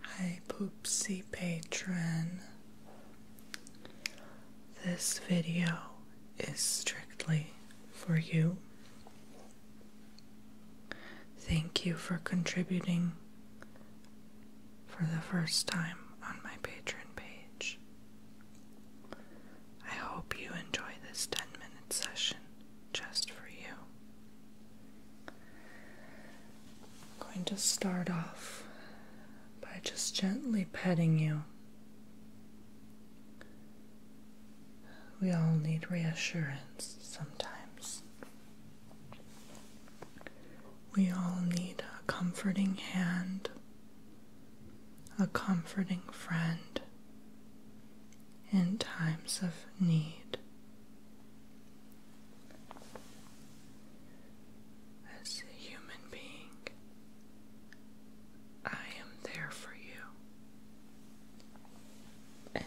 Hi, Poopsie Patron. This video is strictly for you. Thank you for contributing for the first time on my Patreon page. I hope you enjoy this 10 minute session just for you. I'm going to start off by just gently petting you. We all need reassurance sometimes. We all need a comforting hand, a comforting friend, in times of need. As a human being, I am there for you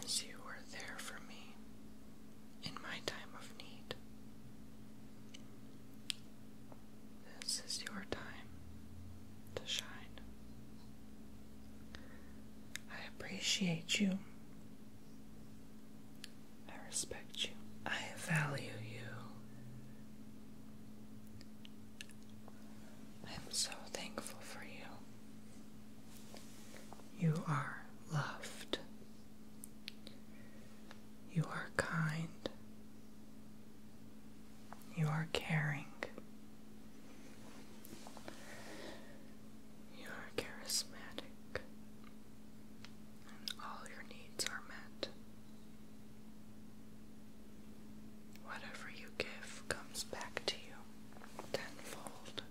as you were there for me in my time of need. This is your time to shine. I appreciate you. I respect you. I value you. I'm so thankful for you. You are loved. You are kind. You are caring. You are charismatic, and all your needs are met. Whatever you give comes back to you tenfold.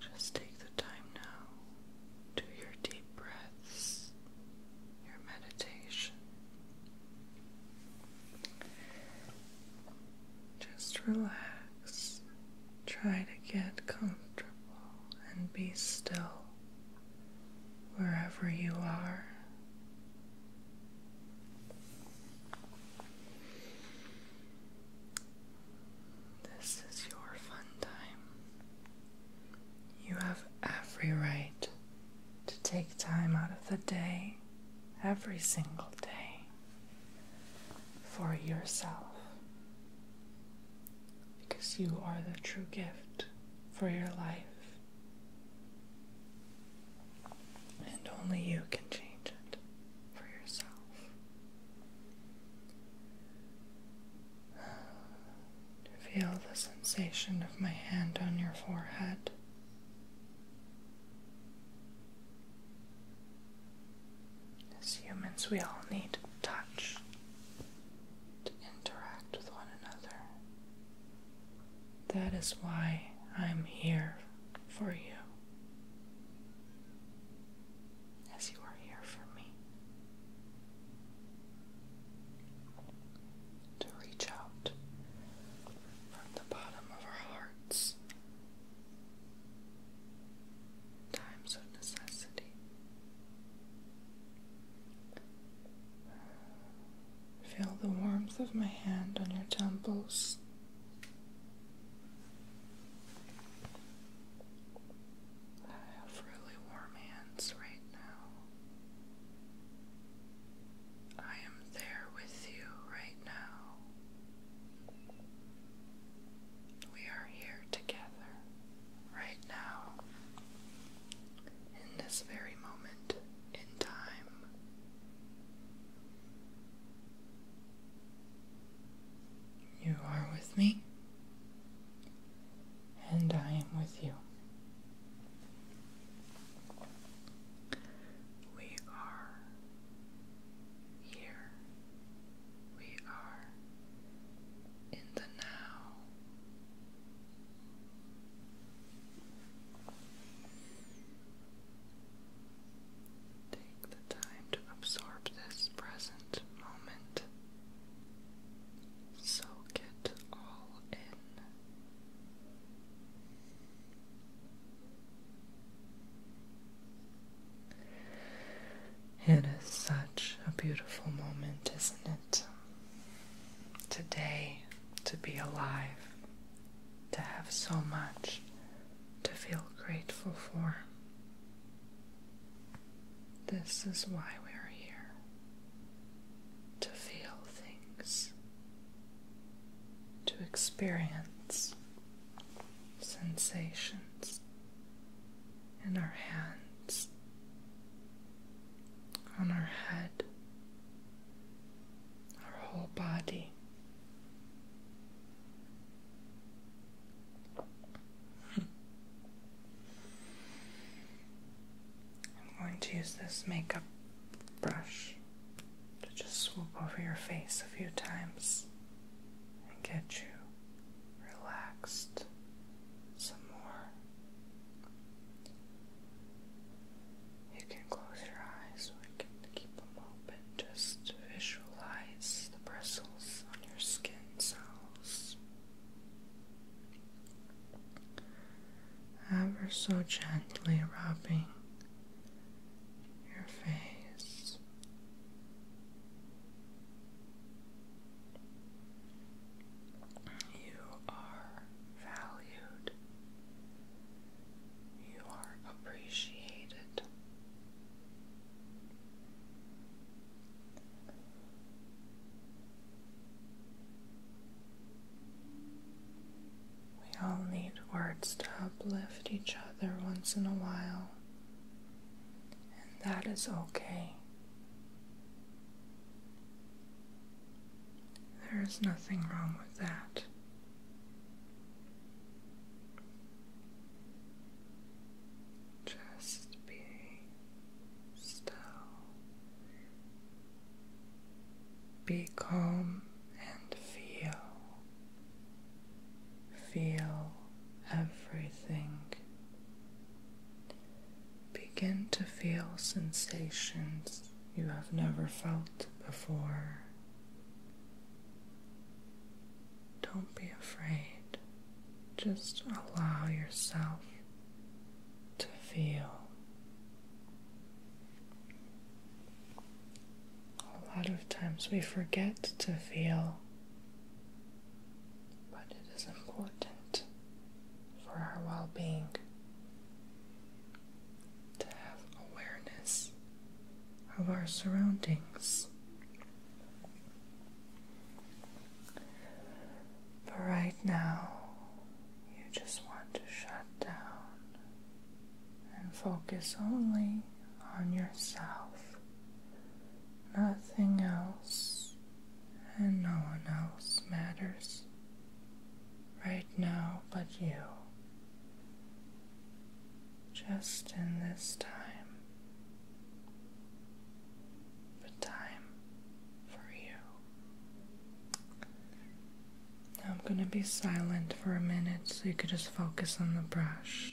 Just take the time now, do your deep breath your meditation. Just relax. Try to get comfortable and be still wherever you are. This is your fun time. You have every right to take time out of the day, every single day, for yourself. Because you are the true gift for your life. And only you can change it for yourself. Feel the sensation of my hand on your forehead. As humans, we all need touch to interact with one another. That is why I'm here for you. As you are here for me to reach out from the bottom of our hearts. Times of necessity. Feel the warmth of my hand on your temples. I have really warm hands right now. I am there with you right now. We are here together right now, in this very moment in time. You are with me and I am with you. We are here. We are in the now. Take the time to absorb this present moment Soak it all in. It is such a beautiful moment, isn't it? Today, to be alive, to have so much to feel grateful for. This is why we are here to feel things, to experience sensations in our hands, on our head, our whole body. I'm going to use this makeup brush to just swoop over your face a few times and get you relaxed some more. You can close your eyes or you can keep them open. Just visualize the bristles on your skin cells ever so gently rubbing your face. You are valued. You are appreciated. We all need words to uplift each other once in a while, and that is okay. There is nothing wrong with that. Just be Still, be calm and feel. Feel everything. Begin to feel sensations you have never felt before. Don't be afraid. Just allow yourself to feel a lot of times we forget to feel, but it is important for our well being to have awareness of our surroundings. But right now, you just want to shut down and focus only on yourself, nothing else. And no one else matters right now but you. Just in this time, but time for you. I'm going to be silent for a minute so you could just focus on the brush.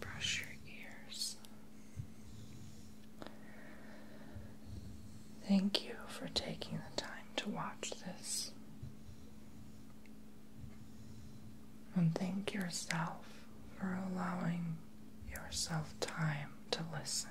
Brush your ears. Thank you for taking the time to watch this. And thank yourself for allowing yourself time to listen.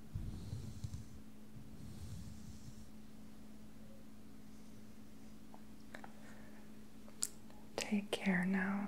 Take care now.